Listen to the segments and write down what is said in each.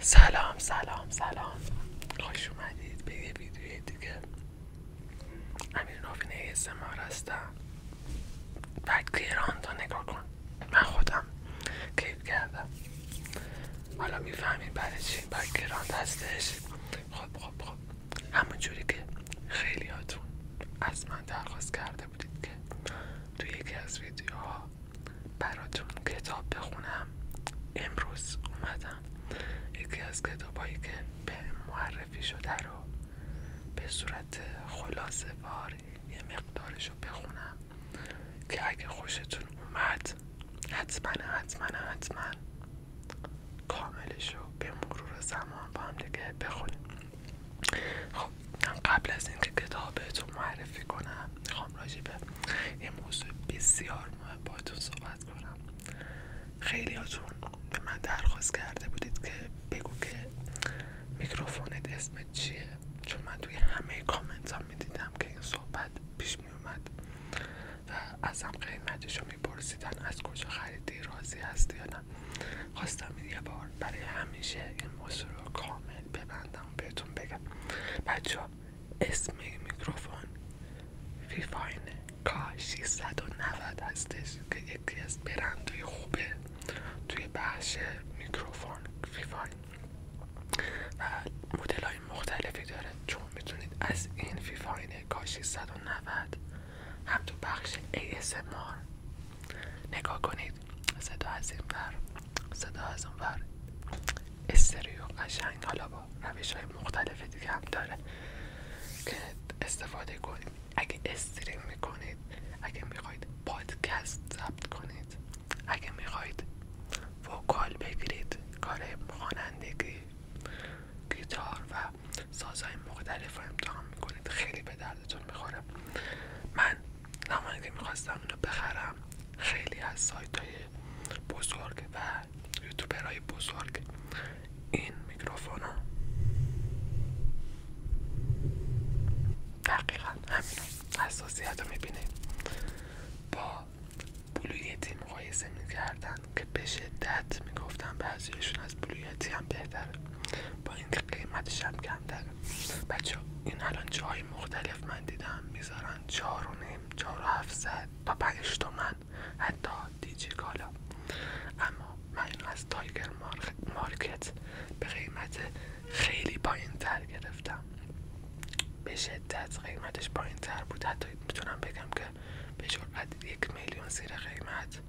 سلام سلام سلام خوش اومدید به یه ویدیوی دیگه امیر نوفینه اسمار هستم بک ایران رو نگاه کن من خودم کیف کردم حالا میفهمید برای چی بک هستش خب خب خب همون که خیلیاتون از من درخواست کرده بودید که تو یکی از ویدیوها براتون کتاب بخونم امروز اومدم یکی از هایی که به معرفی شده رو به صورت خلاصه واری یه مقدارش رو بخونم که اگه خوشتون اومد حتما حتما حتما کاملش رو به مرور زمان با هم دیگه بخونیم خب من قبل از اینکه کتابتون معرفی کنم میخوام راجع به یه موضوع بسیار مهم باهاتون صحبت کنم خیلی هاتون به من درخواست کرده بودید که بگو که میکروفونت اسمت چیه چون من توی همه کامنت ها میدیدم که این صحبت پیش میومد و از قیمتش رو میپرسیدن از کجا خریدی راضی هست یا نه خواستم یه بار برای همیشه این موضوع رو کامل ببندم بهتون بگم بچه ها اسم میکروفون فیفاین کا 690 هستش که یکی از برندهای خوبه توی بخش میکروفون فیفاین و مدل های مختلفی داره چون میتونید از این فیفاین کا 690 هم تو بخش ASMR نگاه کنید صدا از این صدا از اون ور استریو قشنگ حالا با رویش های مختلف دیگه هم داره که استفاده کنید اگه استریم میکنید اگه میخواید پادکست ضبط کنید اگه میخواید وکال بگیرید کار خوانندگی گیتار و سازهای مختلف رو امتحان میکنید خیلی به دردتون میخوره من زمانی که میخواستم رو بخرم خیلی از سایت های بزرگ و یوتیوبرای بزرگ این میکروفون ها دقیقا همین اساسیت رو میبینید با بلویتی مقایسه میکردن که به شدت میگفتن بعضیشون از بلویتی هم بهتره با اینکه قیمتش هم کمتر بچه این الان جای مختلف من دیدم میذارن چار و نیم و هفتصد تا پنج تومن حتی دیجی کالا اما من از تایگر مارکت به قیمت خیلی پایین تر گرفتم به شدت قیمتش پایین تر بود حتی میتونم بگم که به جرأت یک میلیون زیر قیمت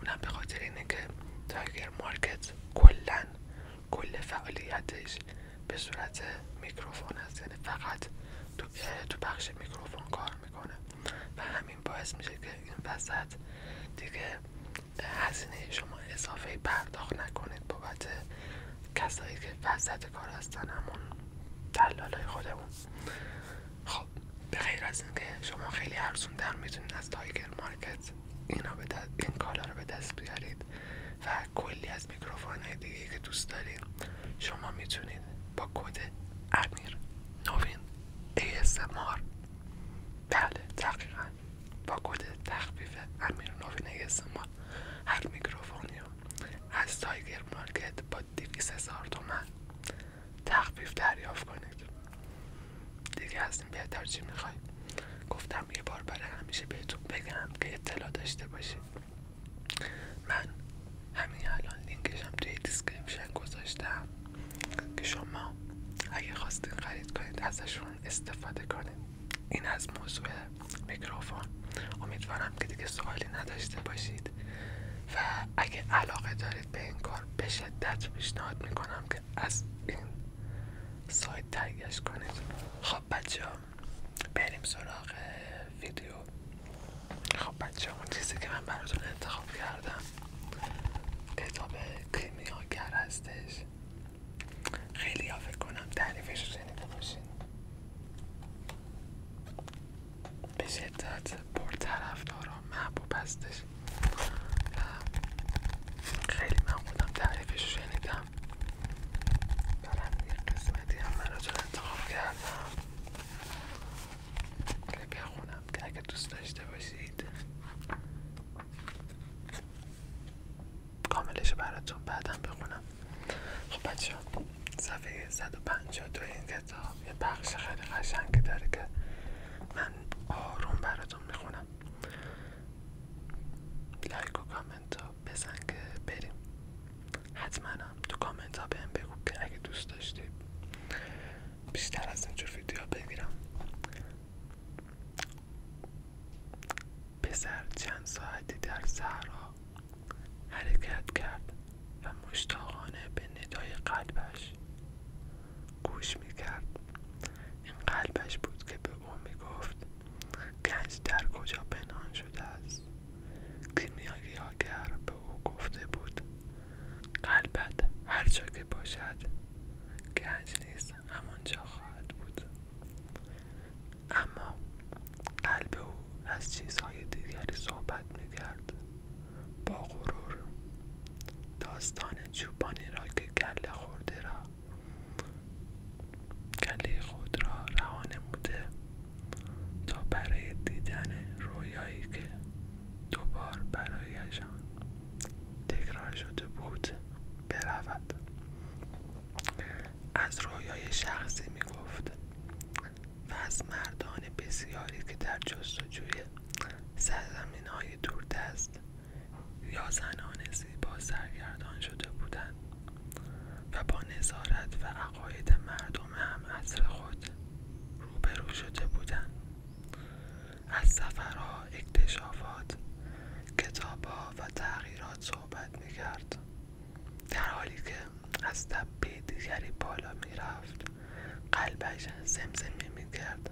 اونم به خاطر اینه که تایگر مارکت کلا کل فعالیتش به صورت میکروفون هست یعنی فقط تو, تو بخش میکروفون کار میکنه و همین باعث میشه که این وسط دیگه هزینه شما اضافه پرداخت نکنید بابت کسایی که وسط کار هستن همون دلالای خودمون خب به غیر از اینکه شما خیلی ارزون در میتونید از تایگر مارکت اینا این کالا رو به دست بیارید کلی از میکروفون های دیگه که دوست دارید شما میتونید با کد امیر نوین ASMR بله دقیقا با کد تخفیف امیر نوین ASMR هر میکروفونی از تایگر مارکت با دویس هزار دومن تخفیف دریافت کنید دیگه از این بهتر چی میخواید گفتم یه بار برای همیشه بهتون بگم که اطلاع داشته باشید من همین الان لینکشم توی دیسکریپشن گذاشتم که شما اگه خواستید خرید کنید ازشون استفاده کنید این از موضوع میکروفون امیدوارم که دیگه سوالی نداشته باشید و اگه علاقه دارید به این کار به شدت پیشنهاد میکنم که از این سایت تگش کنید خب بچه ها بریم سراغ ویدیو خب بچه ها اون چیزی که من براتون انتخاب کردم کتاب کیمیاگر هستش خیلی ها فکر کنم تعریفش رو شنیده باشین به شدت طرف محبوب هستش خیلی من خودم تعریفش رو شنیدم دارم یک قسمتی هم من را انتخاب کردم که بخونم که اگه دوست داشته باشید کاملش براتون بعدم بخونم خب بچه صفحه 152 این کتاب یه بخش خیلی قشنگی داره که من آروم براتون میخونم لایک و تا بزن که بریم حتما تو کامنت ها بهم بگو که اگه دوست داشتی بیشتر از اینجور ویدیو بگیرم پسر چند ساعتی در صحرا حرکت کرد و مشتاقانه به ندای قلبش گوش می کرد این قلبش بود که به او می گنج در کجا پنهان شده است کیمیاگر به او گفته بود قلبت هر جا که باشد گنج نیست همانجا خواهد بود اما قلب او از چیزهای دیگری صحبت میکرد با غرور داستان چوبانی را که گله خورده را کلی خود را رها موده تا برای دیدن رویایی که دوبار برایشان تکرار شده بود برود از رویای شخصی می گفت و از مردان بسیاری که در جستجوی سرزمین های است، یا زنان زیبا سرگردان شده بودند و با نظارت و عقاید مردم هم از خود روبرو شده بودند از سفرها اکتشافات کتابها و تغییرات صحبت میکرد در حالی که از تپه دیگری بالا میرفت قلبش زمزمه میکرد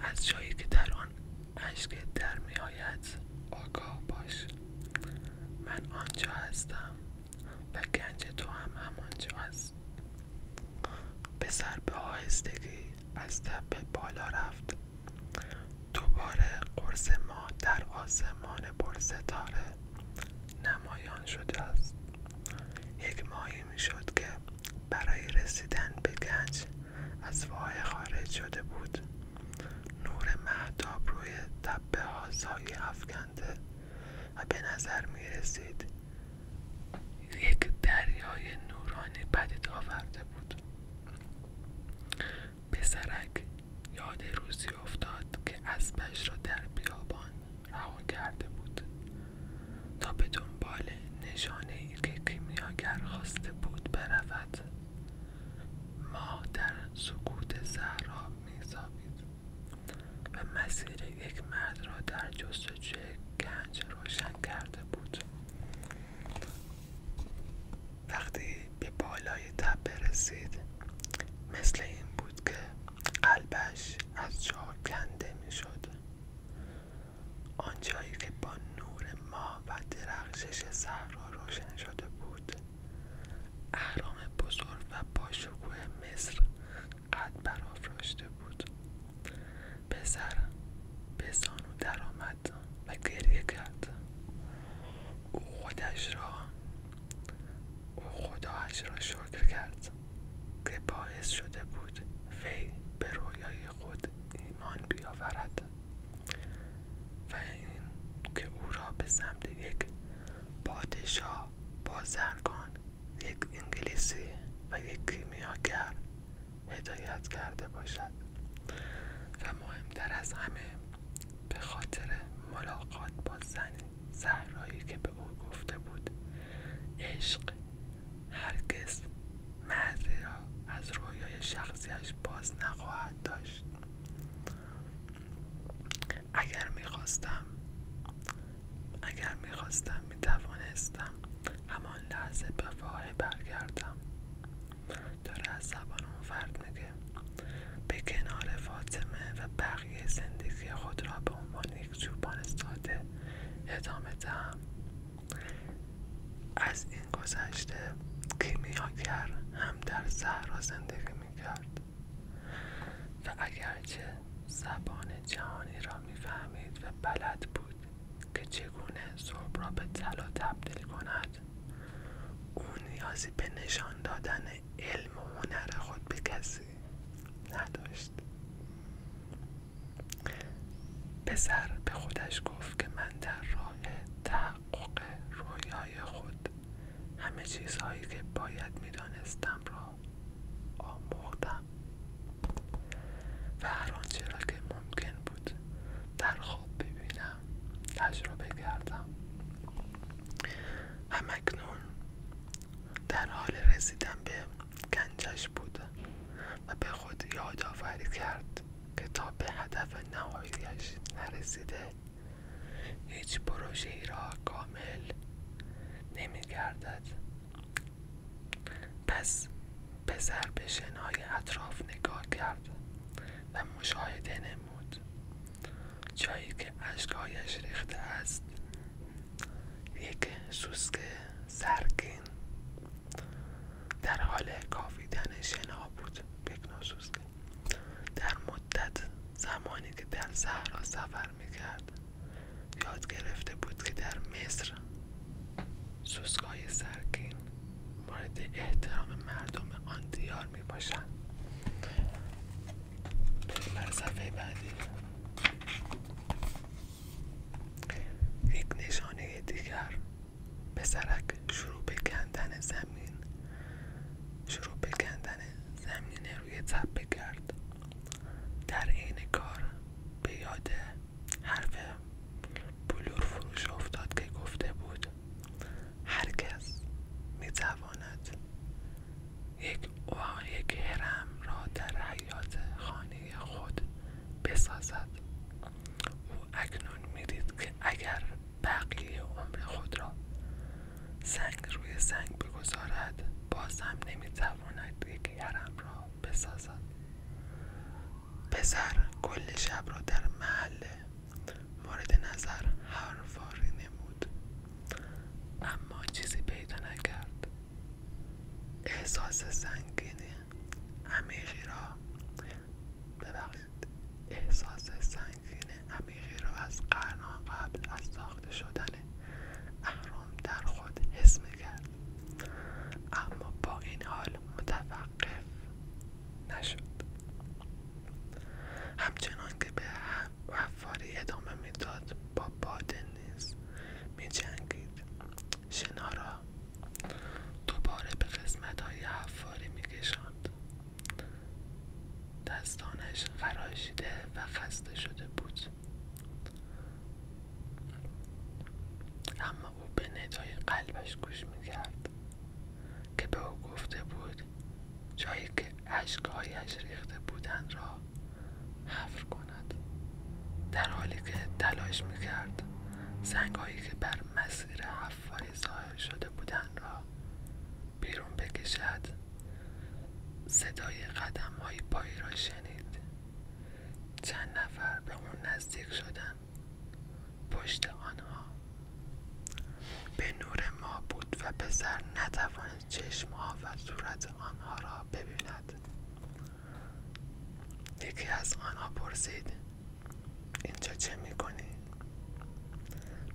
از جایی که در آن اشک در میآید آگاه باش من آنجا هستم و گنج تو هم همانجا هست پسر به آهستگی از تپه بالا رفت دوباره قرص ما در آسمان ستاره نمایان شده است یک ماهی میشد که برای رسیدن به گنج از وای خارج شده بود نور محتاب روی تپه ها سایه افکنده و به نظر می رسید یک دریای نورانی پدید آورده بود به سرک یاد روزی افتاد که اسبش را در بیابان رها کرده بود تا به دنبال نشانه ای که کیمیاگر خواسته بود برود ما در سکوت زهرا میزابید و مسیر یک مرد را در جستجوی گنج روشن کرده بود وقتی به بالای تپه رسید مثل این بود که قلبش از جا کنده میشد آنجایی که با نور ماه و درخشش صحرا روشن شده بود اهرام بزرگ و باشکوه مصر قد برافراشته بود پسر به درآمد و گریه کرد او خودش را او خداش را شکر کرد که باعث شده بود وی به رویای خود ایمان بیاورد و این که او را به سمت یک پادشاه بازرگان یک انگلیسی و یک کیمیاگر هدایت کرده باشد و مهمتر از همه به خاطر ملاقات با زن زهرایی که به او گفته بود عشق هرگز مردی را از رویای شخصیش باز نخواهد داشت اگر میخواستم اگر میخواستم میتوانستم همان لحظه به برگردم داره از زبان اون فرد میگه به کنار فاطمه و بقیه زندگی خود را به عنوان یک چوبان پرستاده ادامه دهم از این گذشته کیمیاکر هم در صحرا زندگی میکرد و اگرچه زبان جهانی را میفهمید و بلد بود که چگونه صبح را به طلا تبدیل کند او نیازی به نشان دادن علم و هنر خود به کسی نداشت پسر به خودش گفت که من در راه تحقق رویای خود همه چیزهایی که باید دانستم را آموختم و هر آنچه را که ممکن بود در خواب ببینم تجربه کردم همکنون در حال رسیدن به گنجش بود و به خود یادآوری کرد که تا به هدف نهاییش نرسیده هیچ پروژه را کامل نمیگردد پس به شنهای اطراف نگاه کرد و مشاهده نمود جایی که اشکایش ریخته است یک سوسک سرگین در حال کافیدن شنا بود بکناسوسکه در مدت زمانی که در صحرا سفر میکرد یاد گرفته بود که در مصر سوسکای سرکین مورد احترام مردم آن دیار می باشند بر صفحه بعدی یک نشانه دیگر پسرک شروع به کندن زمین شروع به کندن زمین روی تپه کرد در عین کار به یاد حرف بلور فروش افتاد که گفته بود هر کس میتواند یک یک هرم را در حیات خانه خود بسازد او اکنون میدید که اگر بقیه عمر خود را سنگ روی سنگ بگذارد باز هم نمیتواند یک حرم را بسازد پسر کل شب را در محل مورد نظر حرفاری نمود اما چیزی پیدا نکرد احساس سنگینه عمیقی را ببخشید احساس سنگین عمیقی را از قرنها قبل از ساخته شدن اهرام در خود حس میکرد اما با این حال متوقف نشد همچنان که به وفاری ادامه میداد با باد نیز میجنگید شنارا دوباره به قسمت های حفاری می کشند. دستانش خراشیده و خسته شده بود اما او به ندای قلبش گوش میکرد که به او گفته بود جایی که اشکهایش ریخته بودند را حفر کند در حالی که تلاش میکرد سنگهایی که بر مسیر حفاری ظاهر شده بودند را بیرون بکشد صدای قدم های پایی را شنید چند نفر به اون نزدیک شدند پشت آنها به نور ما بود و پسر نتوانست چشمها و صورت آنها را ببیند یکی از آنها پرسید اینجا چه میکنی؟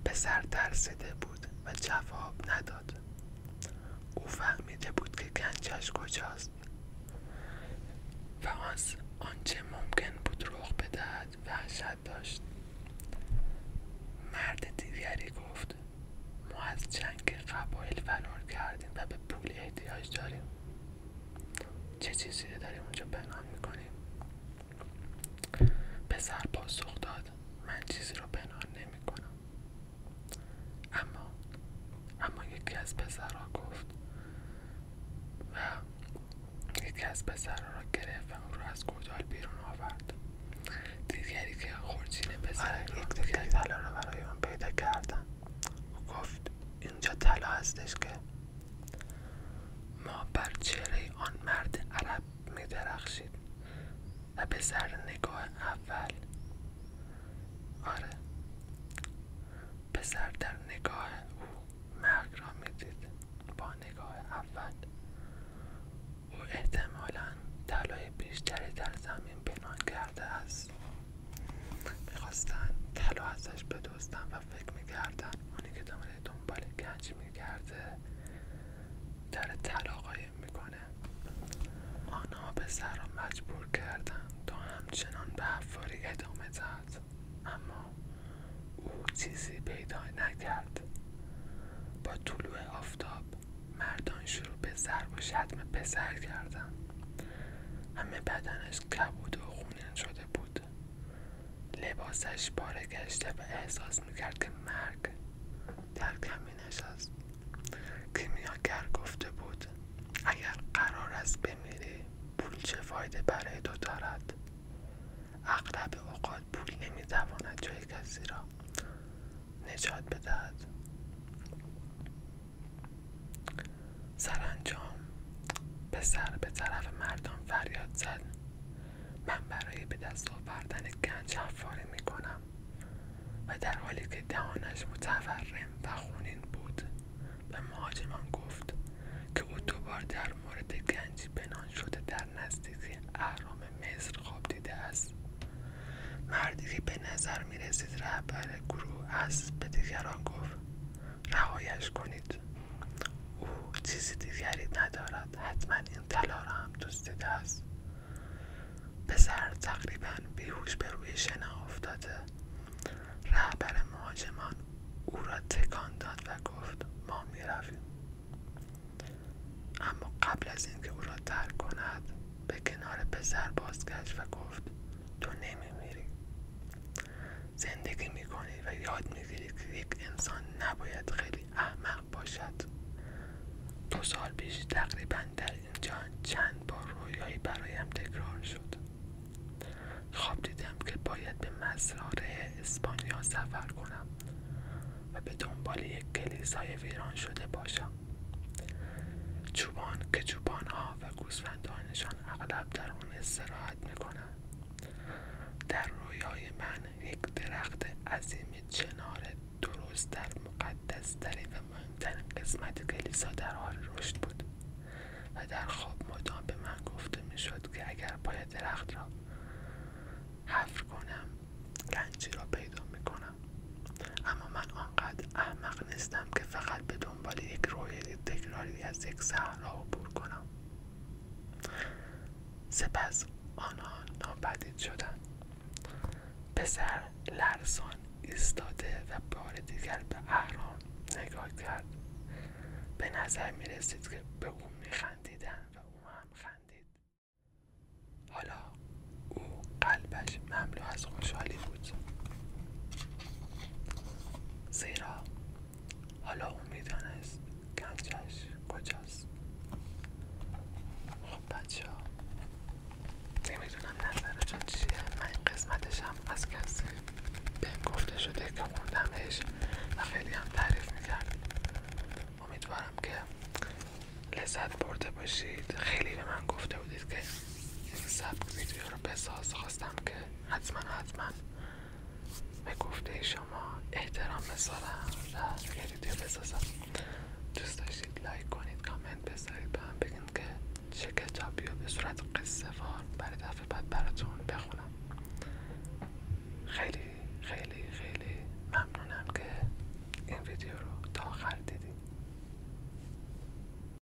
پسر ترسیده بود و جواب نداد او فهمیده بود که گنجش کجاست و از آنچه ممکن بود رخ بدهد وحشت داشت مرد دیگری گفت ما از جنگ قبایل فرار کردیم و به پول احتیاج داریم چه چیزی داریم اونجا بنان میکنیم پسر پاسخ داد من چیزی رو بنان نمیکنم اما اما یکی از پسرا گفت و یکی از پسر را گرفت و اون رو از گودال بیرون آورد دیگری که خورچین پسر آره، یک دیگر رو را برای آن پیدا کردن او گفت اینجا طلا هستش که ما بر چهره آن مرد عرب می درخشید و به سر نگاه اول آره پسر در نگاه او مرگ را میدید با نگاه اول او احتمالا طلای بیشتری در زمین پنهان کرده است میخواستن طلا ازش بدوستن و فکر میکردن اونی که دامنه دنبال گنج میکرده در طلا قایم میکنه آنها به مجبور کردن تا همچنان به حفاری ادامه داد اما او چیزی پیدا نکرد با طلوع آفتاب مردان شروع به زرب و شتم پسر کردند همه بدنش چشمانش کبود و خونین شده بود لباسش پاره گشته و احساس میکرد که مرگ در کمینش است کیمیاگر گفته بود اگر قرار است بمیری پول چه فایده برای دو دارد اغلب اوقات پول نمیتواند جای کسی را نجات بدهد سرانجام پسر به طرف مردان فریاد زد من برای به دست آوردن گنج می کنم و در حالی که دهانش متورم و خونین بود به مهاجمان گفت که او دوبار در مورد گنجی بنان شده در نزدیکی اهرام مصر خواب دیده است مردی که به نظر میرسید رهبر گروه است به دیگران گفت رهایش کنید او چیزی دیگری ندارد حتما این طلا را هم دوست است پسر تقریبا بیهوش به روی شنا افتاده رهبر مهاجمان او را تکان داد و گفت ما میرویم اما قبل از اینکه او را در کند به کنار پسر بازگشت و گفت تو نمیمیری زندگی میکنی و یاد میگیری که یک انسان نباید خیلی احمق باشد دو سال پیش تقریبا در اینجا چند بار رویایی برایم تکرار شد خواب دیدم که باید به مزرعه اسپانیا سفر کنم و به دنبال یک کلیسای ویران شده باشم چوبان که ها و گوسفندانشان اغلب در آن استراحت میکنم در رویای من یک درخت عظیم چنار درست در مقدس ترین و مهمترین قسمت کلیسا در حال رشد بود و در خواب مدام به من گفته میشد که اگر پای درخت را حفر کنم گنجی را پیدا میکنم اما من آنقدر احمق نیستم که فقط به دنبال یک رویای تکراری از یک را عبور کنم سپس آنها ناپدید شدن پسر لرزان ایستاده و بار دیگر به اهرام نگاه کرد به نظر می که به او می و او هم خندید حالا او قلبش مملو از خوشحالی زیرا حالا اون میدانست گنجش کجاست خب بچه ها نمیدونم نظرتون چیه من این از کسی به گفته شده که خوندمش و خیلی هم تعریف میکرد امیدوارم که لذت برده باشید خیلی به من گفته بودید که سبک ویدیو رو بساز خواستم که حتما حتما به گفته شما احترام بذارم و یه ویدیو بسازم دوست داشتید لایک کنید کامنت بذارید به هم بگین که چه کتابی به صورت قصه وار برای دفعه بعد براتون بخونم خیلی خیلی خیلی ممنونم که این ویدیو رو تا آخر دیدید